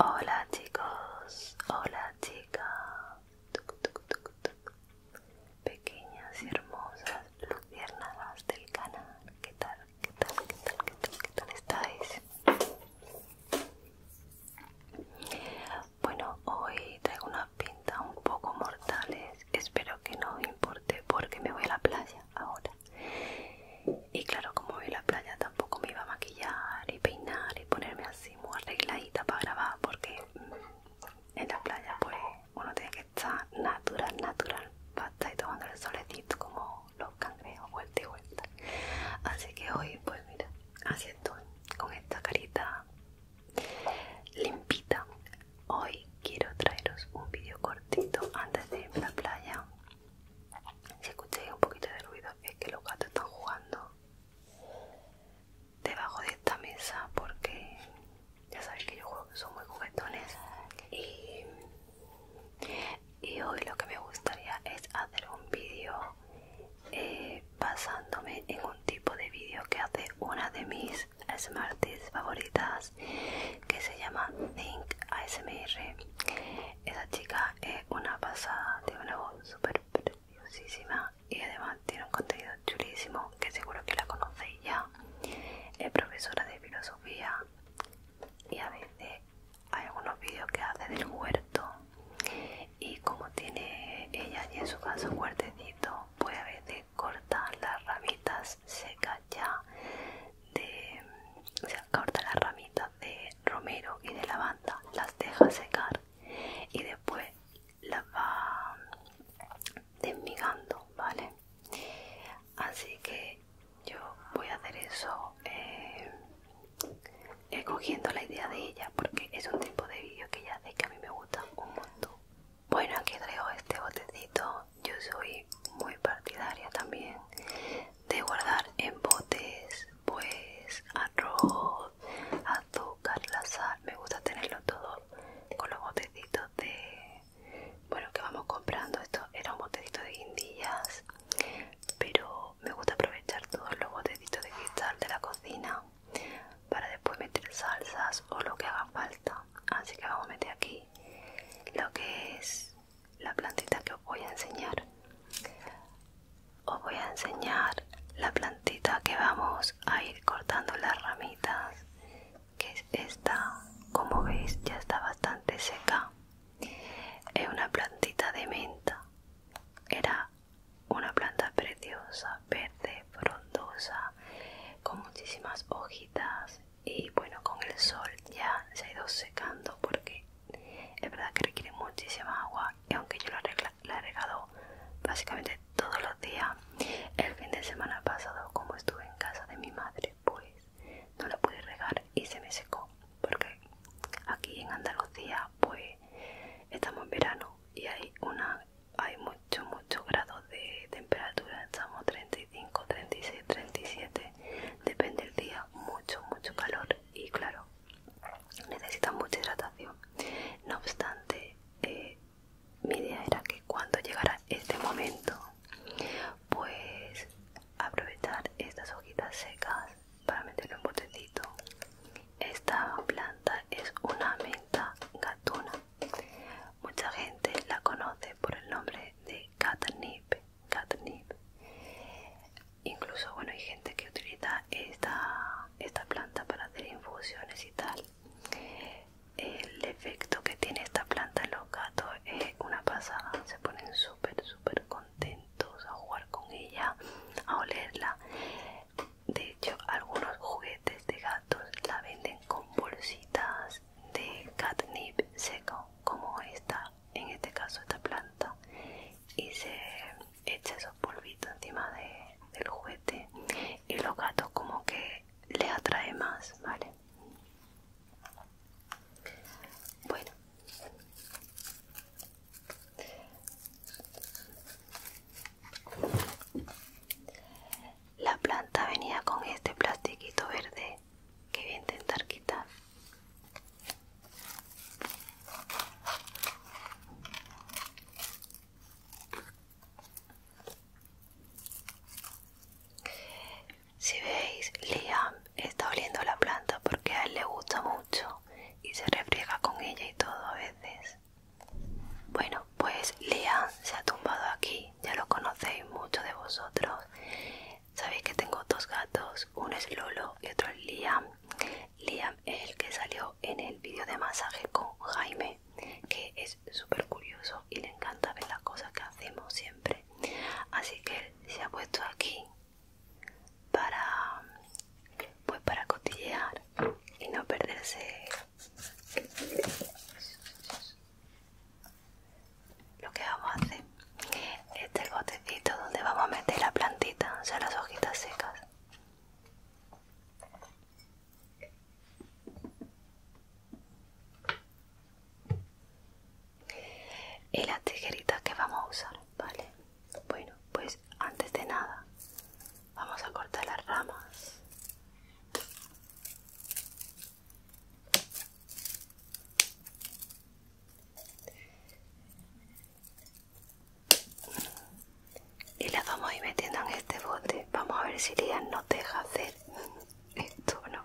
Hola chicos, hola chicas, pequeñas y hermosas luciernadas del canal, ¿qué tal? ¿Qué tal, qué tal, qué tal, qué tal estáis? Bueno, hoy traigo unas pintas un poco mortales. Espero que no importe porque me voy a la playa ahora. Y claro, como voy a la playa tampoco me iba a maquillar y peinar y ponerme así muy arregladita para grabar porque mm, en la playa pues uno tiene que estar natural, natural, pasta y tomando el solecito como los cangrejos vuelta y vuelta así que hoy pues mira así estoy con esta carita limpita hoy quiero traeros un vídeo cortito antes de irme a la playa si escucháis un poquito de ruido es que los gatos están jugando debajo de esta mesa porque ya sabéis que yo juego, son muy juguetones y, y hoy lo que me gustaría es hacer un vídeo eh, basándome en un tipo de vídeo que hace una de mis smarties favoritas que se llama Think ASMR esa chica es una pasada de una voz súper preciosísima y además tiene un contenido chulísimo que seguro que la conocéis ya es profesora de filosofía y a veces hay algunos vídeos que hace del huerto y como tiene ella allí en su casa un huertecito pues a veces corta las ramitas secas ya de o sea, corta las ramitas de romero y de lavanda las deja secar y después las va desmigando, ¿vale? Así que yo voy a hacer eso eh, cogiendo la idea de ella porque es un tipo de vídeo que ella hace que a mí me gusta un montón. Bueno, aquí traigo este botecito. Yo soy muy partidaria también de guardar en botes pues arroz, azúcar, la sal. Me gusta tenerlo todo con los botecitos de bueno que vamos comprando esto era un botecito de guindillas pero me gusta aprovechar todos los botecitos de cristal de la cocina para después meter salsas o lo que haga falta así que vamos a meter aquí lo que es la plantita que os voy a enseñar os voy a enseñar la plantita que vamos a ir cortando las ramitas que es esta como veis ya está bastante seca es una plantita de menta era una planta preciosa verde frondosa con muchísimas hojitas y bueno con el sol ya se ha ido secando porque es verdad que requiere muchísima agua y aunque yo la he regado básicamente todos los días el fin de semana pasado como estuve en casa de mi madre pues no lo pude regar y se me secó porque aquí en Andalucía pues estamos en verano y hay una hay mucho mucho grados de temperatura estamos 35 36 37 depende del día mucho mucho calor y claro necesita mucha hidratación no obstante eh, mi idea era que cuando llegara este momento pues aprovechar estas hojitas secas para meterlo en botecito esta planta es una menta gatuna mucha gente la conoce por el nombre de catnip catnip incluso bueno hay gente que utiliza esta, esta planta para hacer infusiones y tal el efecto que tiene esta planta en los gatos es una pasada. Se ponen súper, súper contentos a jugar con ella, a olerla. De hecho, algunos juguetes de gatos la venden con bolsitas de catnip seco, como esta, en este caso esta planta, y se echa esos polvitos encima del juguete y los gatos como que le atrae más, ¿vale? bueno la planta venía con este plastiquito verde que voy a intentar quitar si veis, Liam está oliendo la planta porque a él le gusta mucho y se refriega con ella y todo a veces. Bueno, pues Liam se ha tumbado aquí, ya lo conocéis muchos de vosotros. Sabéis que tengo dos gatos, uno es Lolo y otro es Liam. Liam es el que salió en el vídeo de masaje con Jaime, que es súper curioso y le encanta ver las cosas que hacemos siempre. Así que se ha puesto aquí para pues para cotillear y no perderse lo que vamos a hacer este gotecito botecito donde vamos a meter la plantita o sea las hojitas secas y las tijeritas que vamos a usar vale bueno pues antes de nada vamos a cortar las ramas y las vamos a ir metiendo en este bote vamos a ver si Lian nos deja hacer esto no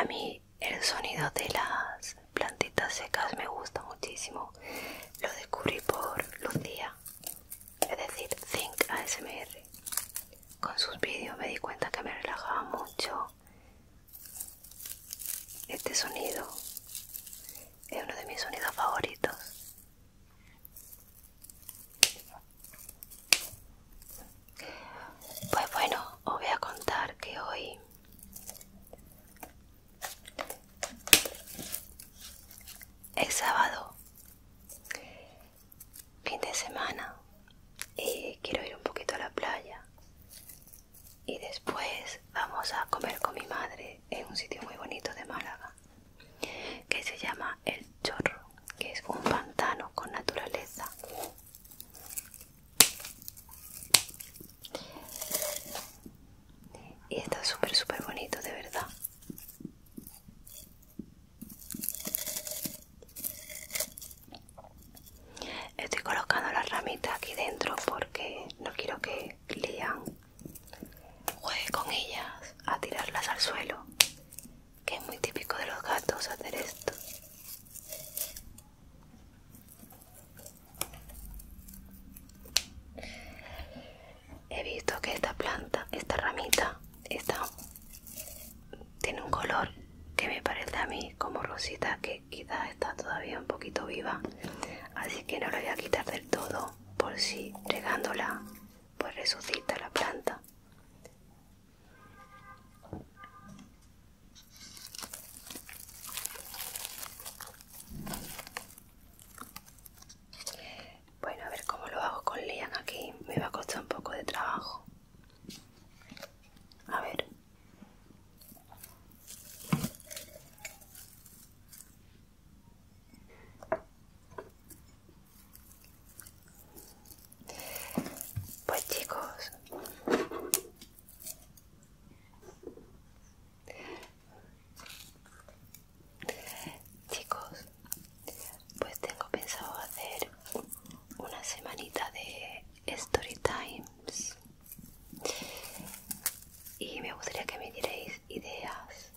a mí el sonido de las plantitas secas me gusta muchísimo lo descubrí por Lucía es decir Think ASMR con sus vídeos me di cuenta que me relajaba mucho este sonido es uno de mis sonidos favoritos pues bueno os voy a contar que hoy es sábado fin de semana y quiero ir un poquito a la playa y después vamos a comer con mi madre en un sitio muy bonito de Málaga que se llama El Chorro, que es un pantano con naturaleza. Y está súper, súper bonito, de verdad. Estoy colocando las ramitas aquí dentro porque no quiero que Lian juegue con ellas a tirarlas al suelo, que es muy típico de los gatos hacer esto. He visto que esta planta, esta ramita, está tiene un color que me parece a mí como rosita, que quizás está todavía un poquito viva. Así que no la voy a quitar del todo, por si regándola, pues resucita la planta. Bueno, a ver cómo lo hago con Lian aquí. Me va a costar un poco de trabajo. A ver. Pues chicos, chicos, pues tengo pensado hacer una semanita de story times y me gustaría que me dierais ideas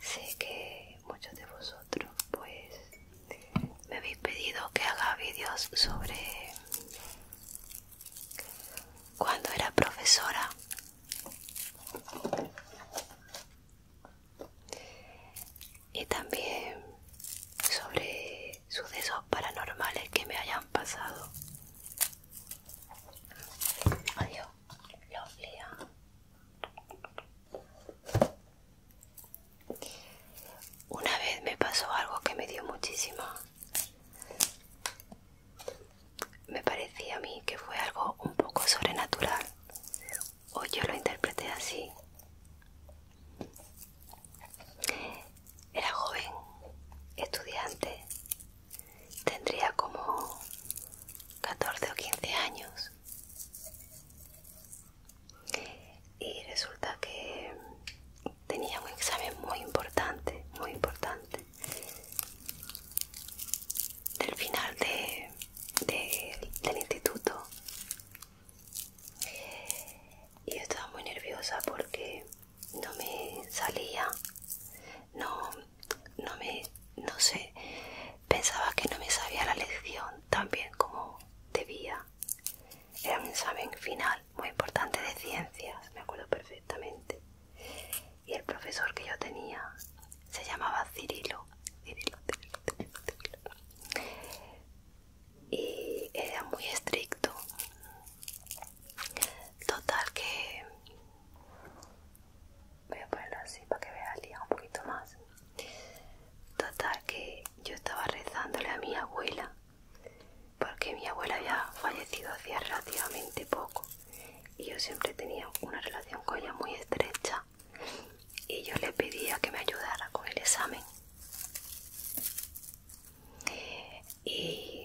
sé que muchos de vosotros pues me habéis pedido que haga vídeos sobre cuando era profesora y también sobre sucesos paranormales que me hayan pasado. Adiós, Una vez me pasó algo que me dio muchísimo. Me parecía a mí que fue algo un poco sobrenatural, o yo lo interpreté así. Era joven, estudiante, tendría como 14 o 15 años. Y resulta que tenía un examen muy importante, muy importante del final de, del instituto y yo estaba muy nerviosa porque no me salía no no me no sé pensaba que no me sabía la lección tan bien como debía era un examen final muy importante de ciencias me acuerdo perfectamente y el profesor que yo tenía se llamaba Cirilo, Cirilo, Cirilo, Cirilo, y era muy estricto total que voy a ponerlo así para que vea un poquito más total que yo estaba rezándole a mi abuela porque mi abuela había fallecido hacía relativamente poco y yo siempre tenía una relación con ella muy estrecha y yo le pedía que me ayudara con el examen y,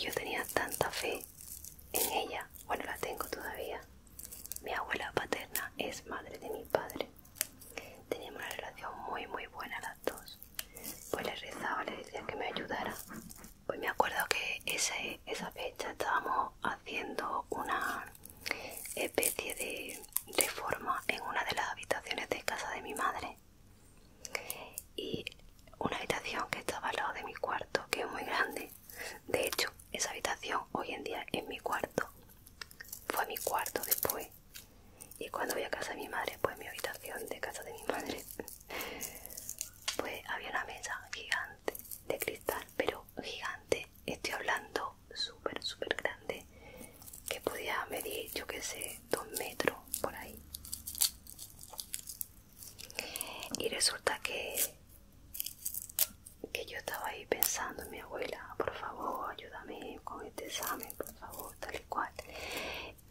yo tenía tanta fe en ella, bueno la tengo todavía mi abuela paterna es madre de mi padre teníamos una relación muy muy buena las dos pues le rezaba, le decía que me ayudara hoy me acuerdo que esa fecha estábamos haciendo una especie de reforma en una de las habitaciones de casa de mi madre. Y una habitación que estaba al lado de mi cuarto, que es muy grande. De hecho, esa habitación hoy en día es mi cuarto. Fue mi cuarto después. Y cuando voy a casa de mi madre, pues mi habitación de casa de mi madre pues había una mesa gigante de cristal, pero gigante, estoy hablando súper, súper grande, que podía medir, yo que sé, dos metros por ahí. Y resulta que, que yo estaba ahí pensando en mi abuela, por favor, ayúdame con este examen, por favor, tal y cual.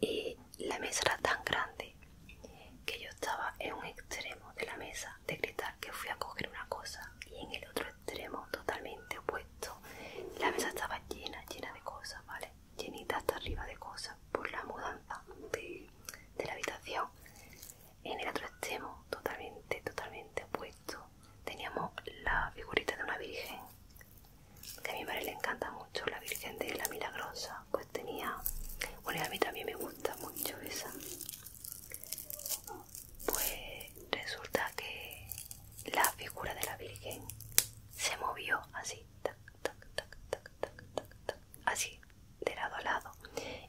Y la mesa era tan grande que yo estaba en un extremo de la mesa de gritar que fui a coger una cosa y en el otro extremo totalmente opuesto la mesa estaba llena, llena de cosas, ¿vale? Llenita hasta arriba de cosas por la mudanza de, de la habitación. En el otro extremo totalmente, totalmente opuesto teníamos la figurita de una virgen que a mi madre le encanta mucho, la virgen de la milagrosa pues tenía. Bueno, a mí también me gusta mucho esa. Pues resulta que la figura de la Virgen se movió así, así, de lado a lado.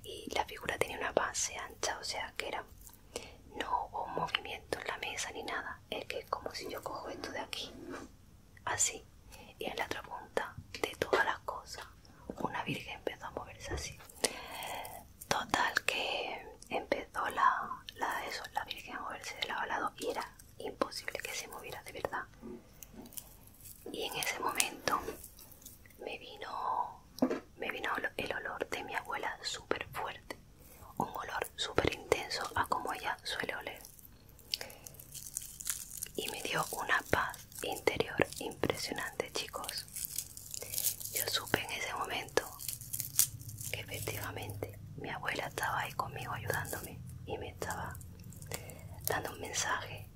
Y la figura tenía una base ancha, o sea que era. No hubo movimiento en la mesa ni nada. Es que es como si yo cojo esto de aquí así, y en la otra punta de todas las cosas una virgen empezó a moverse así. Total que empezó la, eso, la virgen a moverse de lado a lado y era imposible que se moviera de verdad. Y en ese momento me vino, me vino el olor de mi abuela súper fuerte, un olor súper intenso a como ella suele oler y me dio una paz interior impresionante chicos yo supe en ese momento que efectivamente mi abuela estaba ahí conmigo ayudándome y me estaba dando un mensaje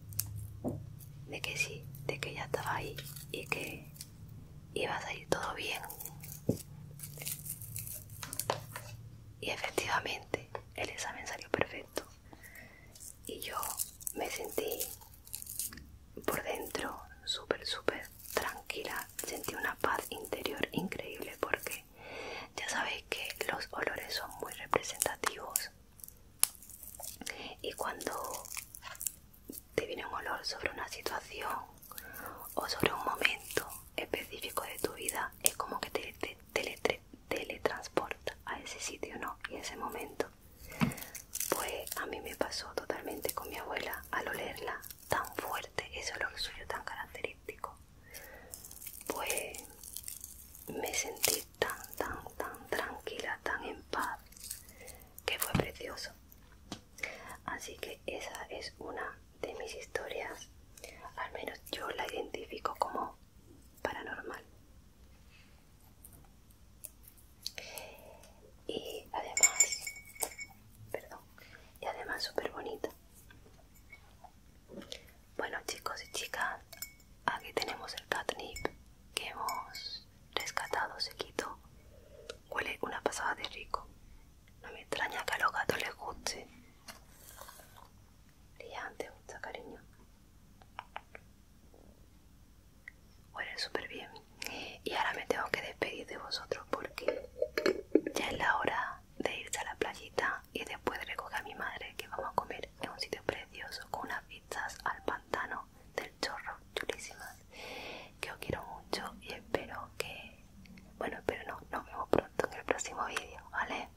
de que sí de que ella estaba ahí y que iba a salir todo bien y efectivamente el examen salió perfecto y yo me sentí por dentro súper súper tranquila sentí una paz interior increíble porque ya sabéis que los olores son muy representativos y cuando te viene un olor sobre una situación o sobre un momento específico de tu vida es como que te, te, te, teletransporta a ese sitio, ¿no? Y ese momento. Pues a mí me pasó totalmente con mi abuela al olerla tan fuerte, eso es lo suyo tan característico. Pues me sentí tan, tan, tan tranquila, tan en paz, que fue precioso. Así que esa es una de mis historias, al menos yo la identifico como paranormal. Y además, perdón, y además súper bonita. Bueno chicos y chicas, aquí tenemos el catnip que hemos rescatado, se quitó. Huele una pasada de rico. No me extraña que a los gatos les guste brillante, mucho cariño. huele súper bien. Y ahora me tengo que despedir de vosotros porque ya es la hora de irse a la playita y después de recoger a mi madre que vamos a comer en un sitio precioso con unas vistas al pantano del chorro chulísimas. Que os quiero mucho y espero que... Bueno, espero no. Nos vemos pronto en el próximo vídeo, ¿vale?